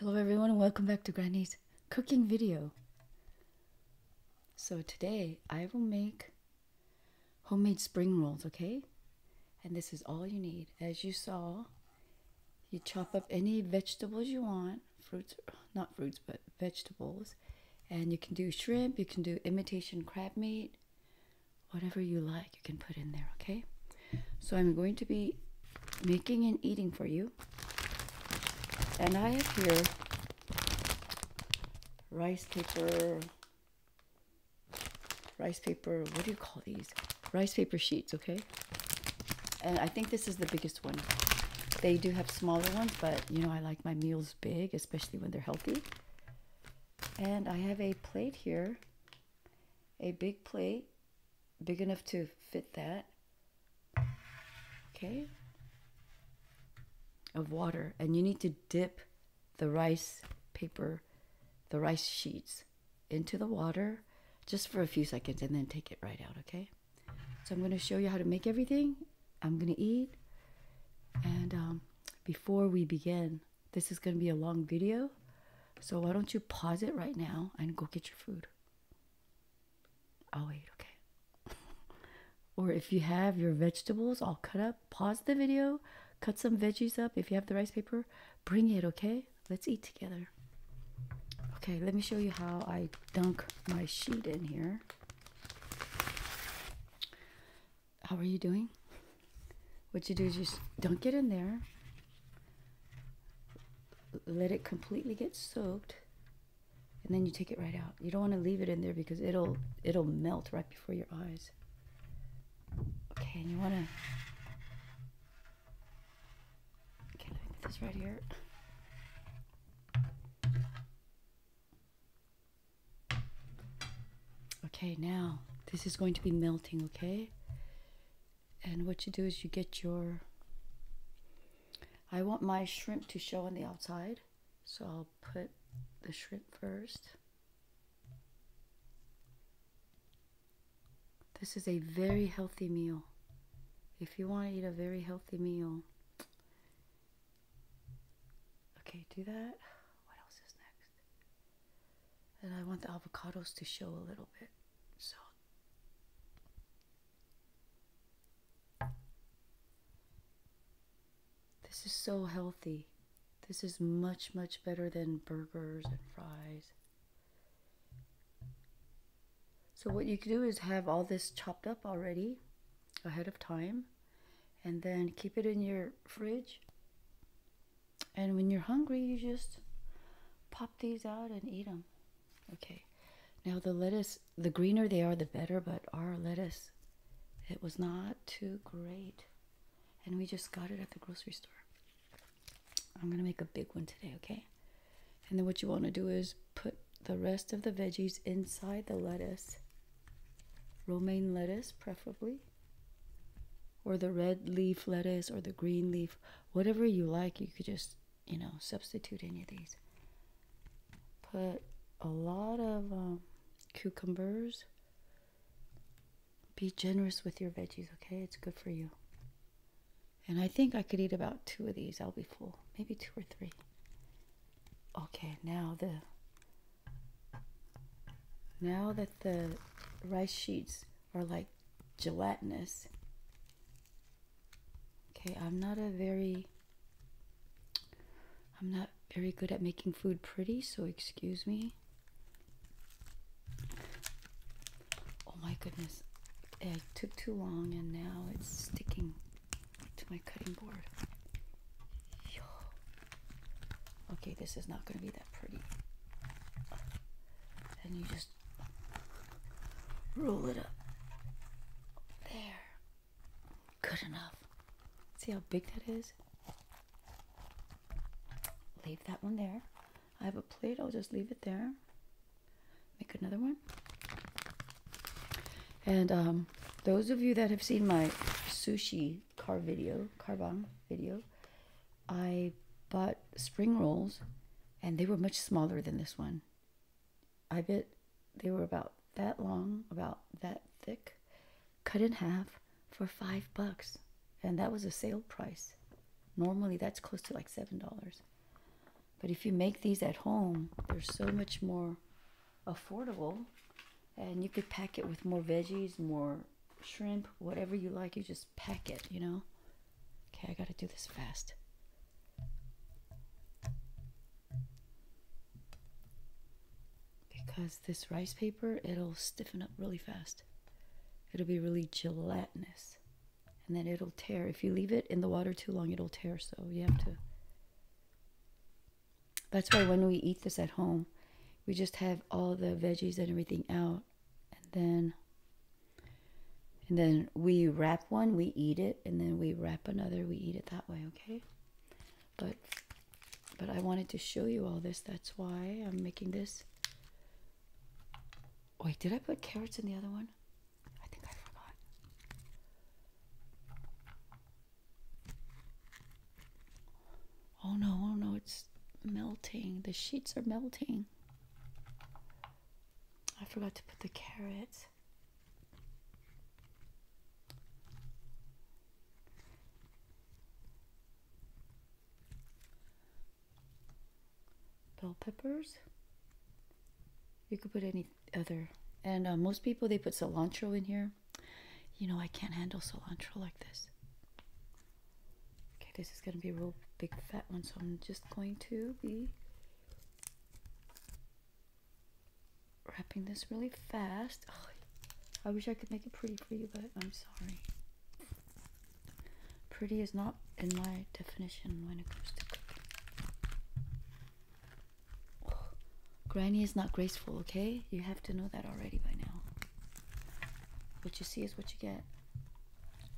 Hello everyone and welcome back to Granny's cooking video. So today I will make homemade spring rolls, okay? And this is all you need. As you saw, you chop up any vegetables you want, fruits, not fruits, but vegetables. And you can do shrimp, you can do imitation crab meat, whatever you like, you can put in there, okay? So I'm going to be making and eating for you. And I have here rice paper, rice paper, what do you call these? Rice paper sheets, okay? And I think this is the biggest one. They do have smaller ones, but you know, I like my meals big, especially when they're healthy. And I have a plate here, a big plate, big enough to fit that. Okay. Of water. And you need to dip the rice paper, the rice sheets into the water just for a few seconds and then take it right out, okay? So I'm going to show you how to make everything I'm gonna eat. And um, before we begin, this is gonna be a long video. So why don't you pause it right now and go get your food? I'll wait, okay. or if you have your vegetables all cut up, pause the video, cut some veggies up. If you have the rice paper, bring it, okay? Let's eat together. Okay, let me show you how I dunk my sheet in here. How are you doing? What you do is you don't get in there. Let it completely get soaked, and then you take it right out. You don't want to leave it in there because it'll it'll melt right before your eyes. Okay, and you want to. Okay, let me put this right here. Okay, now this is going to be melting, okay? And what you do is you get your. I want my shrimp to show on the outside, so I'll put the shrimp first. This is a very healthy meal. If you want to eat a very healthy meal, Okay, do that. What else is next? And I want the avocados to show a little bit. So This is so healthy. This is much, much better than burgers and fries. So what you can do is have all this chopped up already ahead of time and then keep it in your fridge. And when you're hungry, you just pop these out and eat them. Okay. Now the lettuce, the greener they are, the better, but our lettuce, it was not too great. And we just got it at the grocery store. I'm going to make a big one today, okay? And then what you want to do is put the rest of the veggies inside the lettuce romaine lettuce, preferably, or the red leaf lettuce or the green leaf, whatever you like, you could just, you know, substitute any of these. Put a lot of um, cucumbers. Be generous with your veggies, okay? It's good for you. And I think I could eat about two of these. I'll be full. Maybe two or three okay now the now that the rice sheets are like gelatinous okay i'm not a very i'm not very good at making food pretty so excuse me oh my goodness it took too long and now it's sticking to my cutting board. Yo. Okay, this is not going to be that pretty. And you just roll it up. There. Good enough. See how big that is? Leave that one there. I have a plate, I'll just leave it there. Make another one. And um, those of you that have seen my sushi car video, carbon video, I bought spring rolls and they were much smaller than this one. I bet they were about that long, about that thick, cut in half for five bucks. And that was a sale price. Normally that's close to like seven dollars. But if you make these at home, they're so much more affordable. And you could pack it with more veggies, more shrimp, whatever you like. You just pack it, you know? Okay, I gotta do this fast. Because this rice paper, it'll stiffen up really fast. It'll be really gelatinous. And then it'll tear. If you leave it in the water too long, it'll tear. So you have to that's why when we eat this at home, we just have all the veggies and everything out, and then and then we wrap one, we eat it, and then we wrap another, we eat it that way, okay? But but I wanted to show you all this. That's why I'm making this. Wait, did I put carrots in the other one? I think I forgot. Oh no, oh no, it's melting. The sheets are melting. I forgot to put the carrots. Bell peppers. You could put any other. And uh, most people, they put cilantro in here. You know, I can't handle cilantro like this. Okay, this is going to be a real big fat one. So I'm just going to be wrapping this really fast. I wish I could make it pretty for you, but I'm sorry. Pretty is not in my definition when it comes to cooking. granny is not graceful, okay? You have to know that already by now. What you see is what you get.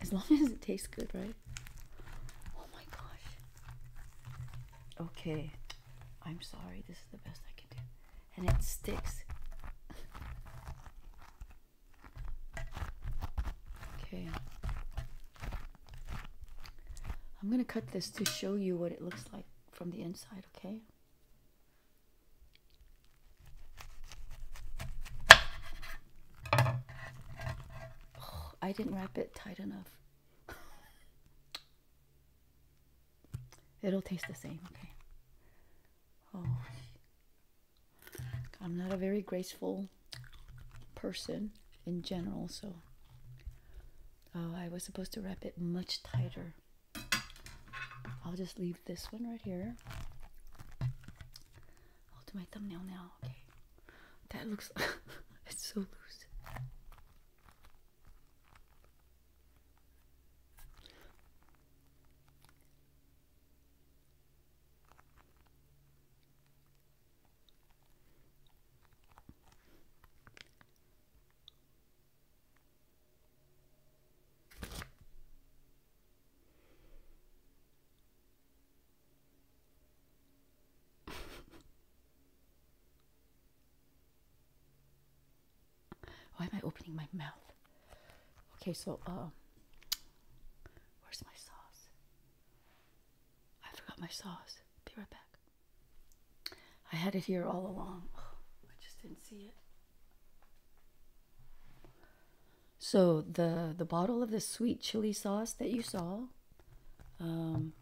As long as it tastes good, right? Oh my gosh. Okay. I'm sorry. This is the best I can do. And it sticks. okay. I'm going to cut this to show you what it looks like from the inside, okay? I didn't wrap it tight enough. It'll taste the same, okay? Oh. I'm not a very graceful person in general, so Oh, I was supposed to wrap it much tighter. I'll just leave this one right here. I'll my thumbnail now. Okay. That looks it's so loose. Why am I opening my mouth? Okay, so um, where's my sauce? I forgot my sauce. Be right back. I had it here all along. I just didn't see it. So the the bottle of the sweet chili sauce that you saw, um,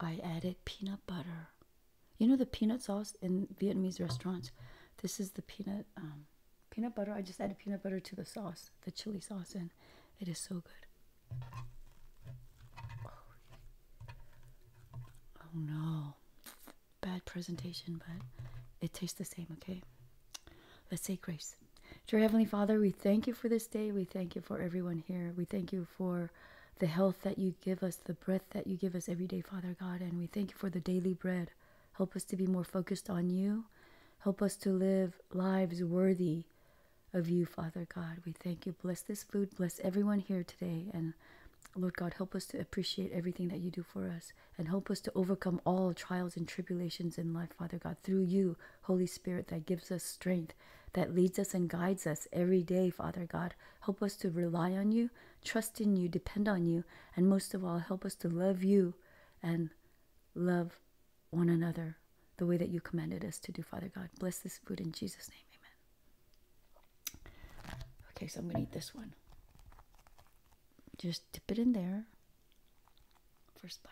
I added peanut butter. You know the peanut sauce in Vietnamese restaurants. This is the peanut um, peanut butter. I just added peanut butter to the sauce, the chili sauce, and it is so good. Oh no. Bad presentation, but it tastes the same, okay? Let's say grace. Dear Heavenly Father, we thank you for this day. We thank you for everyone here. We thank you for the health that you give us, the breath that you give us every day, Father God. And we thank you for the daily bread. Help us to be more focused on you. Help us to live lives worthy of you, Father God. We thank you. Bless this food. Bless everyone here today. And Lord God, help us to appreciate everything that you do for us and help us to overcome all trials and tribulations in life, Father God, through you, Holy Spirit, that gives us strength, that leads us and guides us every day, Father God. Help us to rely on you, trust in you, depend on you, and most of all, help us to love you and love one another the way that you commanded us to do, Father God. Bless this food in Jesus' name. Amen. Okay, so I'm going to eat this one. Just dip it in there. First bite.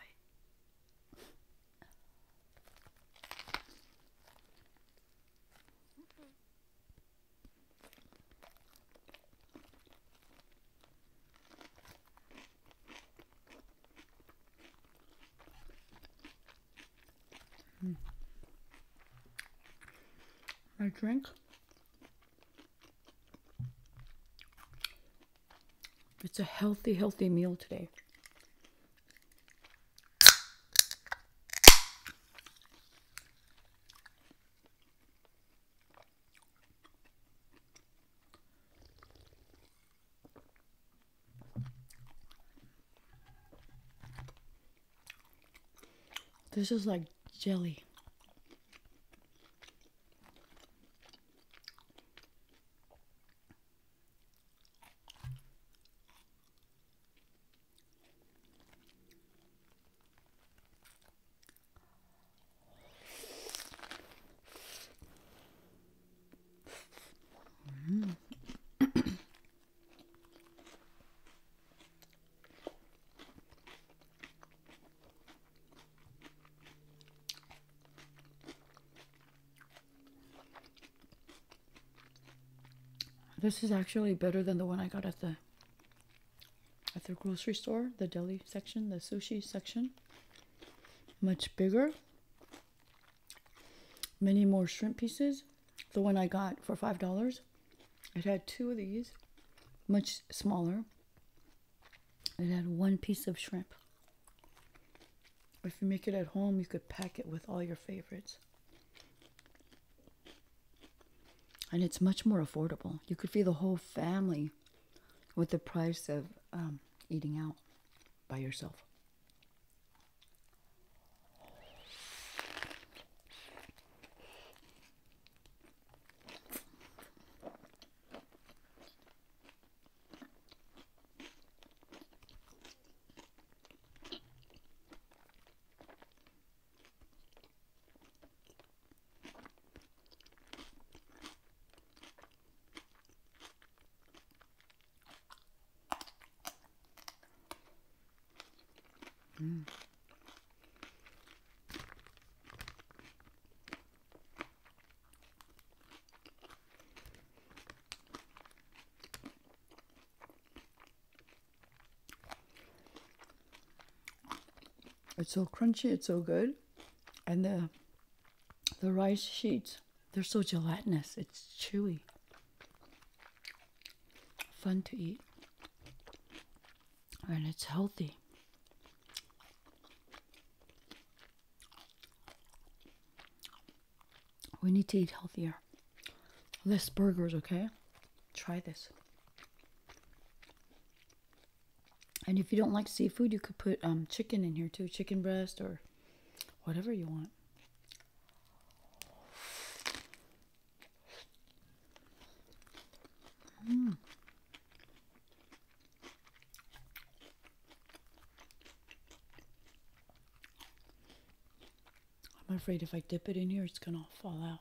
Hmm. I drink it's a healthy, healthy meal today. This is like jelly. Mm. this is actually better than the one I got at the at the grocery store, the deli section, the sushi section. Much bigger many more shrimp pieces. The one I got for $5, it had two of these, much smaller. It had one piece of shrimp. If you make it at home, you could pack it with all your favorites. And it's much more affordable. You could feed the whole family with the price of um, eating out by yourself. Mm. It's so crunchy, it's so good, and the the rice sheets, they're so gelatinous, it's chewy. Fun to eat. And it's healthy. We need to eat healthier. Less burgers, okay? Try this. And if you don't like seafood, you could put um, chicken in here too, chicken breast or whatever you want. Mm. I'm afraid if I dip it in here, it's going to fall out.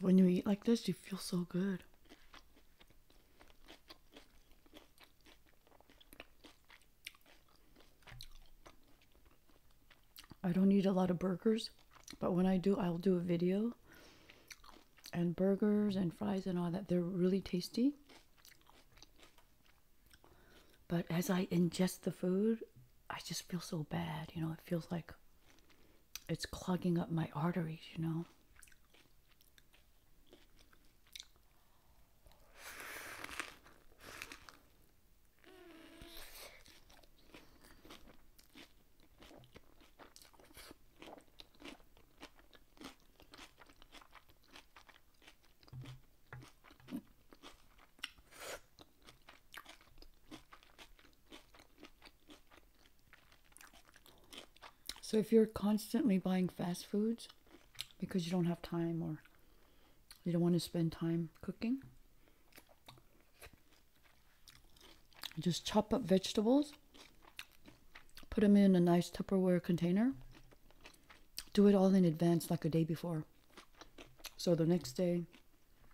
When you eat like this, you feel so good. I don't eat a lot of burgers, but when I do, I'll do a video. And burgers and fries and all that, they're really tasty. But as I ingest the food, I just feel so bad. You know, it feels like it's clogging up my arteries, you know. So if you're constantly buying fast foods, because you don't have time or you don't want to spend time cooking. Just chop up vegetables, put them in a nice Tupperware container. Do it all in advance, like a day before. So the next day,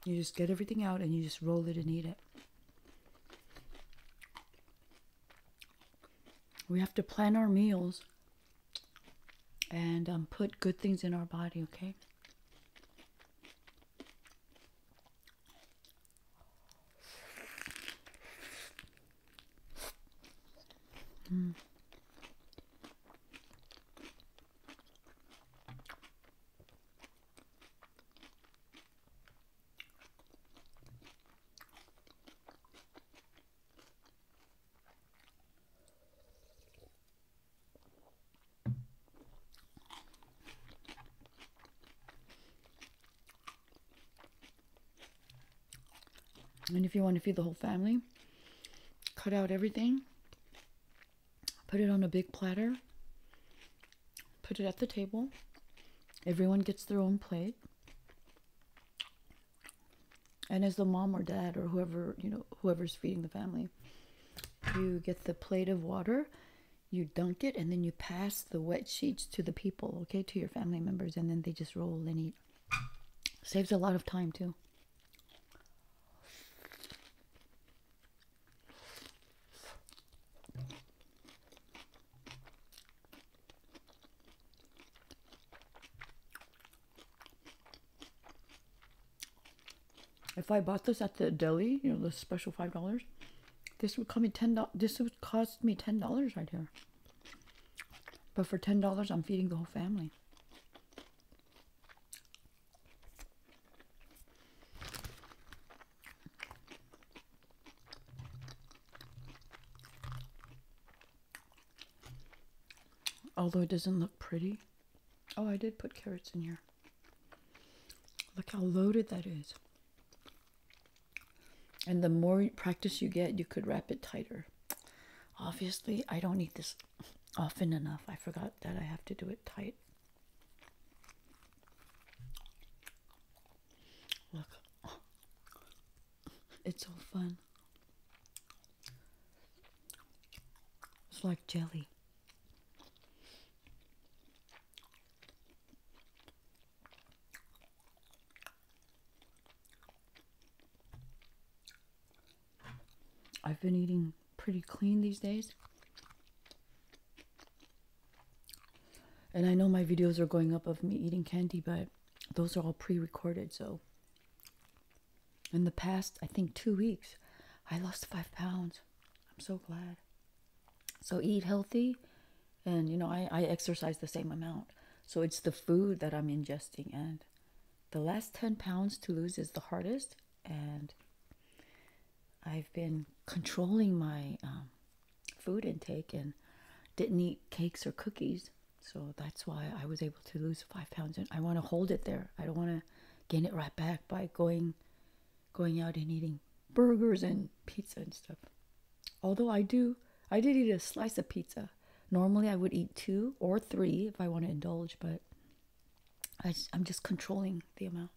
you just get everything out and you just roll it and eat it. We have to plan our meals and um, put good things in our body, okay? And if you want to feed the whole family, cut out everything, put it on a big platter, put it at the table. Everyone gets their own plate and as the mom or dad or whoever you know whoever's feeding the family you get the plate of water you dunk it and then you pass the wet sheets to the people okay to your family members and then they just roll and eat saves a lot of time too if I bought this at the deli, you know, the special five dollars, this would cost me ten dollars. This would right here. But for ten dollars, I'm feeding the whole family. Although it doesn't look pretty. Oh, I did put carrots in here. Look how loaded that is. And the more practice you get, you could wrap it tighter. Obviously, I don't eat this often enough. I forgot that I have to do it tight. Look, it's so fun. It's like jelly. I've been eating pretty clean these days. And I know my videos are going up of me eating candy, but those are all pre-recorded so in the past i think two weeks i lost five pounds i'm so glad so eat healthy and you know i, I exercise the same amount so it's the food that i'm ingesting and the last 10 pounds to lose is the hardest and i've been controlling my um, food intake and didn't eat cakes or cookies. So that's why I was able to lose five pounds. And I want to hold it there. I don't want to gain it right back by going, going out and eating burgers and pizza and stuff. Although I do, I did eat a slice of pizza. Normally I would eat two or three if I want to indulge, but I, am just controlling the amount.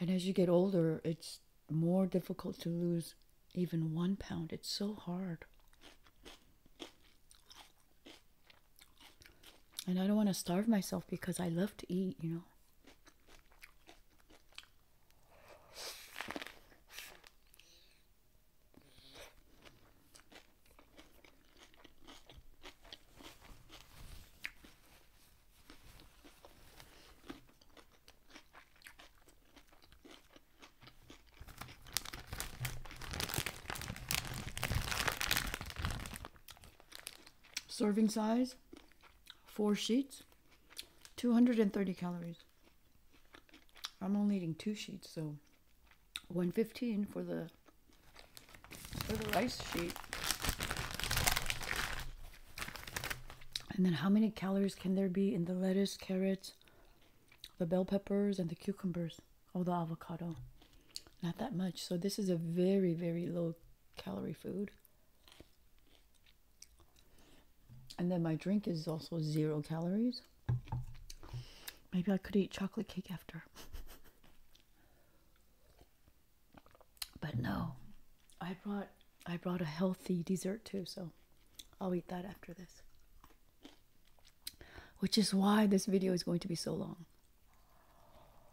And as you get older, it's more difficult to lose even one pound. It's so hard. And I don't want to starve myself because I love to eat, you know. Serving size, four sheets. 230 calories. I'm only eating two sheets, so 115 for the for the rice sheet. And then how many calories can there be in the lettuce, carrots, the bell peppers, and the cucumbers? Oh, the avocado. Not that much. So this is a very, very low calorie food. And then my drink is also zero calories. Maybe I could eat chocolate cake after. but no. I brought I brought a healthy dessert too, so I'll eat that after this. Which is why this video is going to be so long.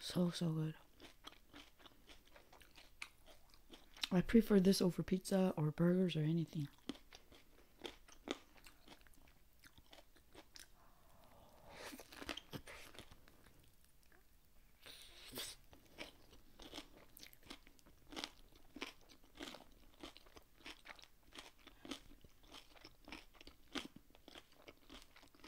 So, so good. I prefer this over pizza or burgers or anything.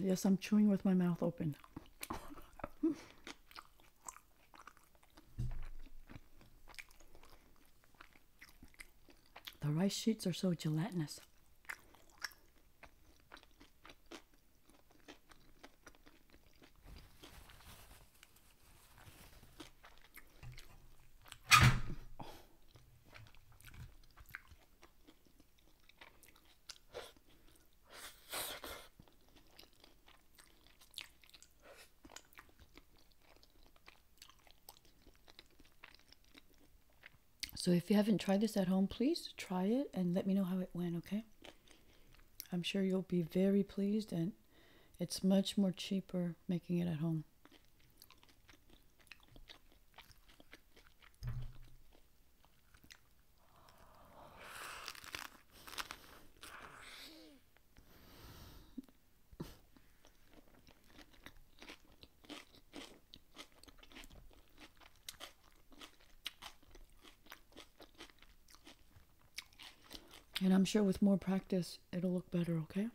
Yes, I'm chewing with my mouth open. the rice sheets are so gelatinous. So if you haven't tried this at home, please try it and let me know how it went, okay? I'm sure you'll be very pleased and it's much more cheaper making it at home. And I'm sure with more practice, it'll look better, okay?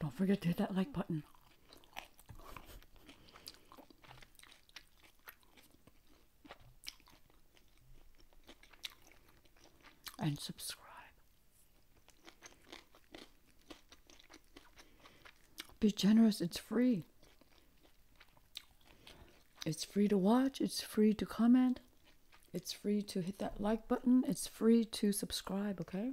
Don't forget to hit that like button. And subscribe. Be generous, it's free. It's free to watch, it's free to comment, it's free to hit that like button, it's free to subscribe, okay?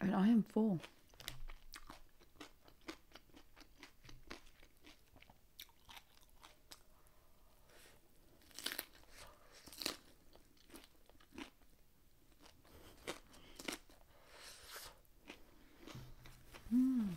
And I am full. Mm.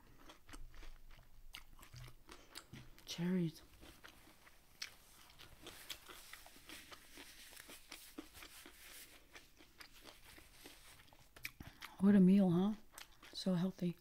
cherries. What a meal, huh? So healthy.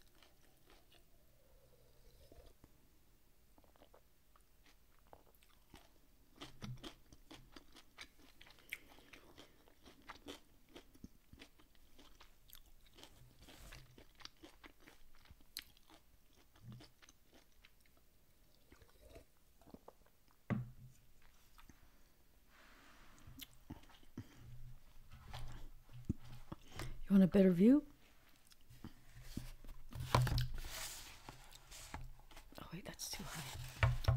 You want a better view? Oh wait, that's too high.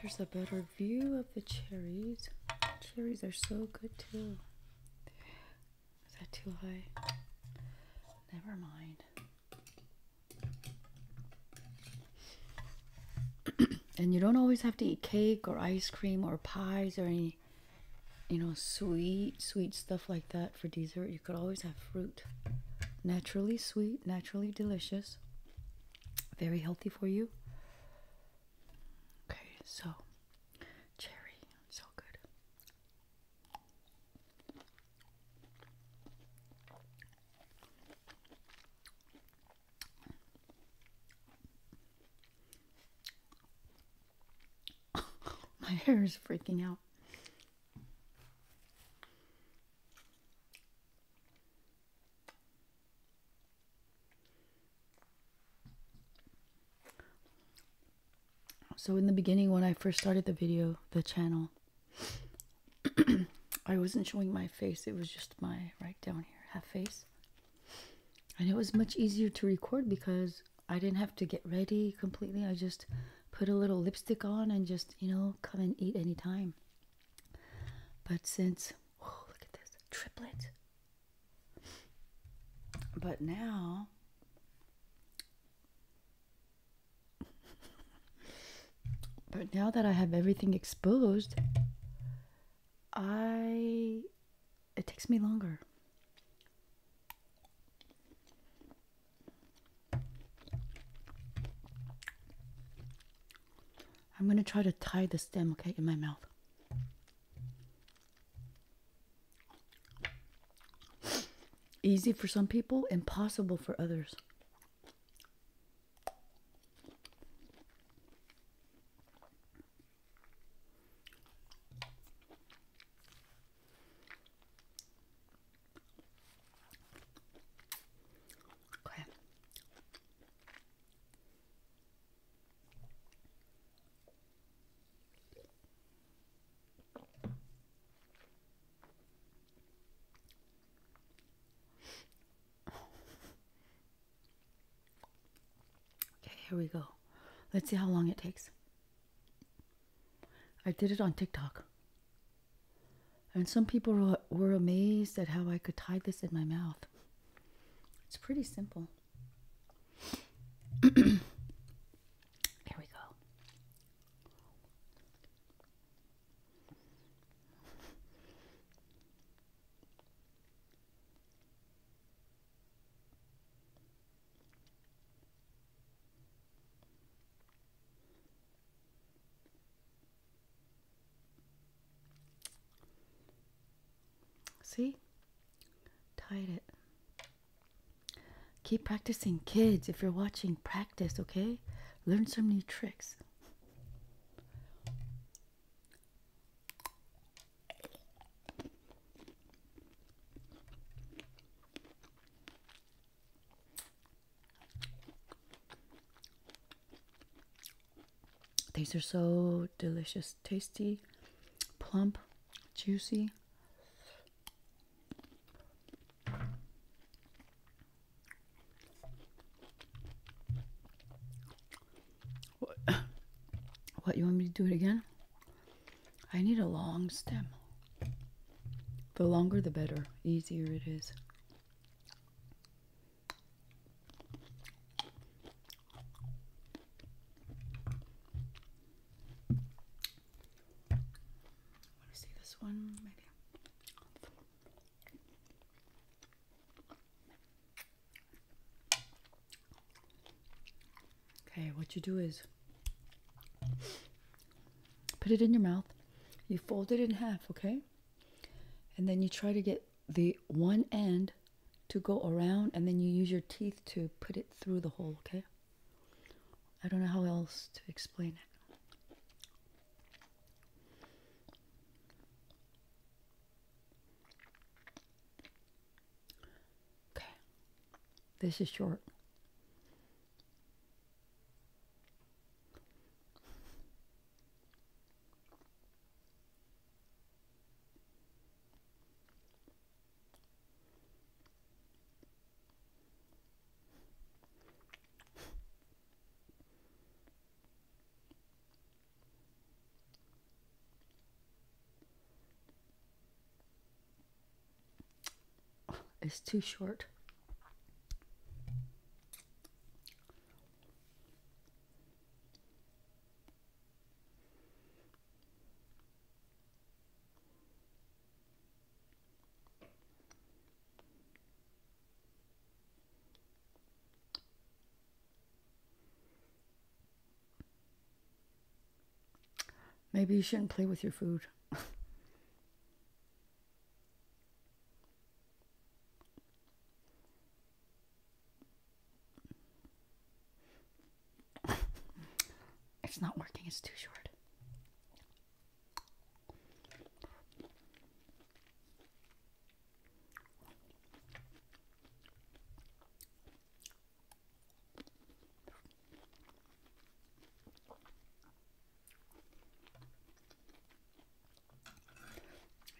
Here's a better view of the cherries. Cherries are so good too. Is that too high? Never mind. and you don't always have to eat cake or ice cream or pies or any, you know, sweet, sweet stuff like that for dessert. You could always have fruit. Naturally sweet, naturally delicious very healthy for you. Okay, so cherry, so good. My hair is freaking out. So in the beginning when I first started the video, the channel, I wasn't showing my face. It was just my right down here, half face. And it was much easier to record because I didn't have to get ready completely. I just put a little lipstick on and just, you know, come and eat anytime. But since, oh, look at this, triplet. But now, but now that I have everything exposed, I, it takes me longer. I'm going to try to tie the stem, okay, in my mouth. Easy for some people, impossible for others. Okay okay, here we go. Let's see how long it takes. I did it on TikTok. And some people were amazed at how I could tie this in my mouth. It's pretty simple. there we go. See? Tied it. Keep practicing, kids. If you're watching, practice, okay? Learn some new tricks. These are so delicious, tasty, plump, juicy. What, what you want me to do it again? I need a long stem. The longer the better, easier it is. Let me see this one, maybe. Okay, what you do is put it in your mouth. You fold it in half, okay? and then you try to get the one end to go around and then you use your teeth to put it through the hole okay i don't know how else to explain it Okay, this is short. It's too short. Maybe you shouldn't play with your food. it's not working, it's too short.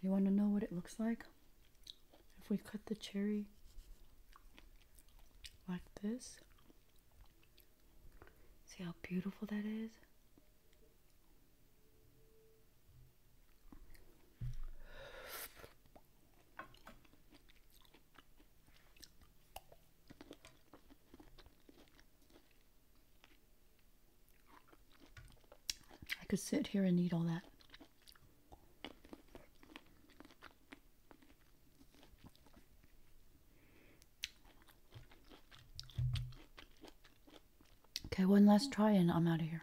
You want to know what it looks like? If we cut the cherry like this, see how beautiful that is? I could sit here and eat all that. Okay, one last try and I'm out of here.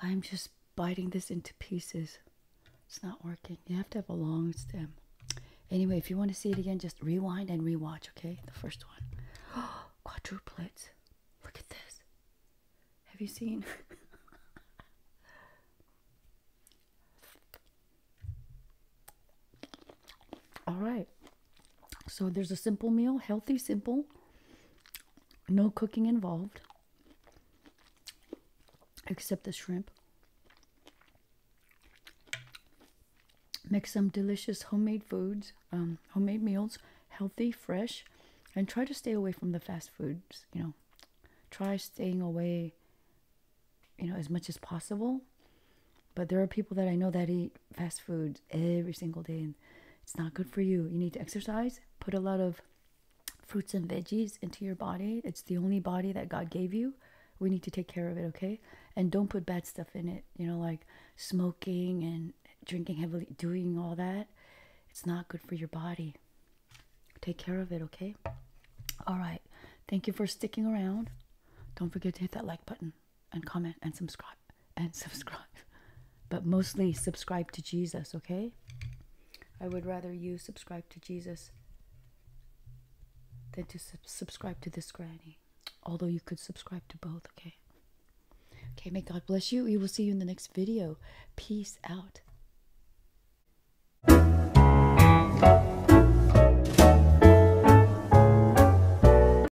I'm just biting this into pieces. It's not working. You have to have a long stem. Anyway, if you want to see it again, just rewind and rewatch, okay? The first one. quadruplets. Look at this. Have you seen? All right. So there's a simple meal, healthy, simple, no cooking involved, except the shrimp. Make some delicious homemade foods, um, homemade meals, healthy, fresh, and try to stay away from the fast foods. You know, try staying away. You know, as much as possible. But there are people that I know that eat fast food every single day, and it's not good for you. You need to exercise, put a lot of fruits and veggies into your body. It's the only body that God gave you. We need to take care of it, okay? And don't put bad stuff in it, you know, like smoking and drinking heavily, doing all that. It's not good for your body. Take care of it, okay? All right. Thank you for sticking around. Don't forget to hit that like button and comment and subscribe and subscribe but mostly subscribe to jesus okay i would rather you subscribe to jesus than to subscribe to this granny although you could subscribe to both okay okay may god bless you we will see you in the next video peace out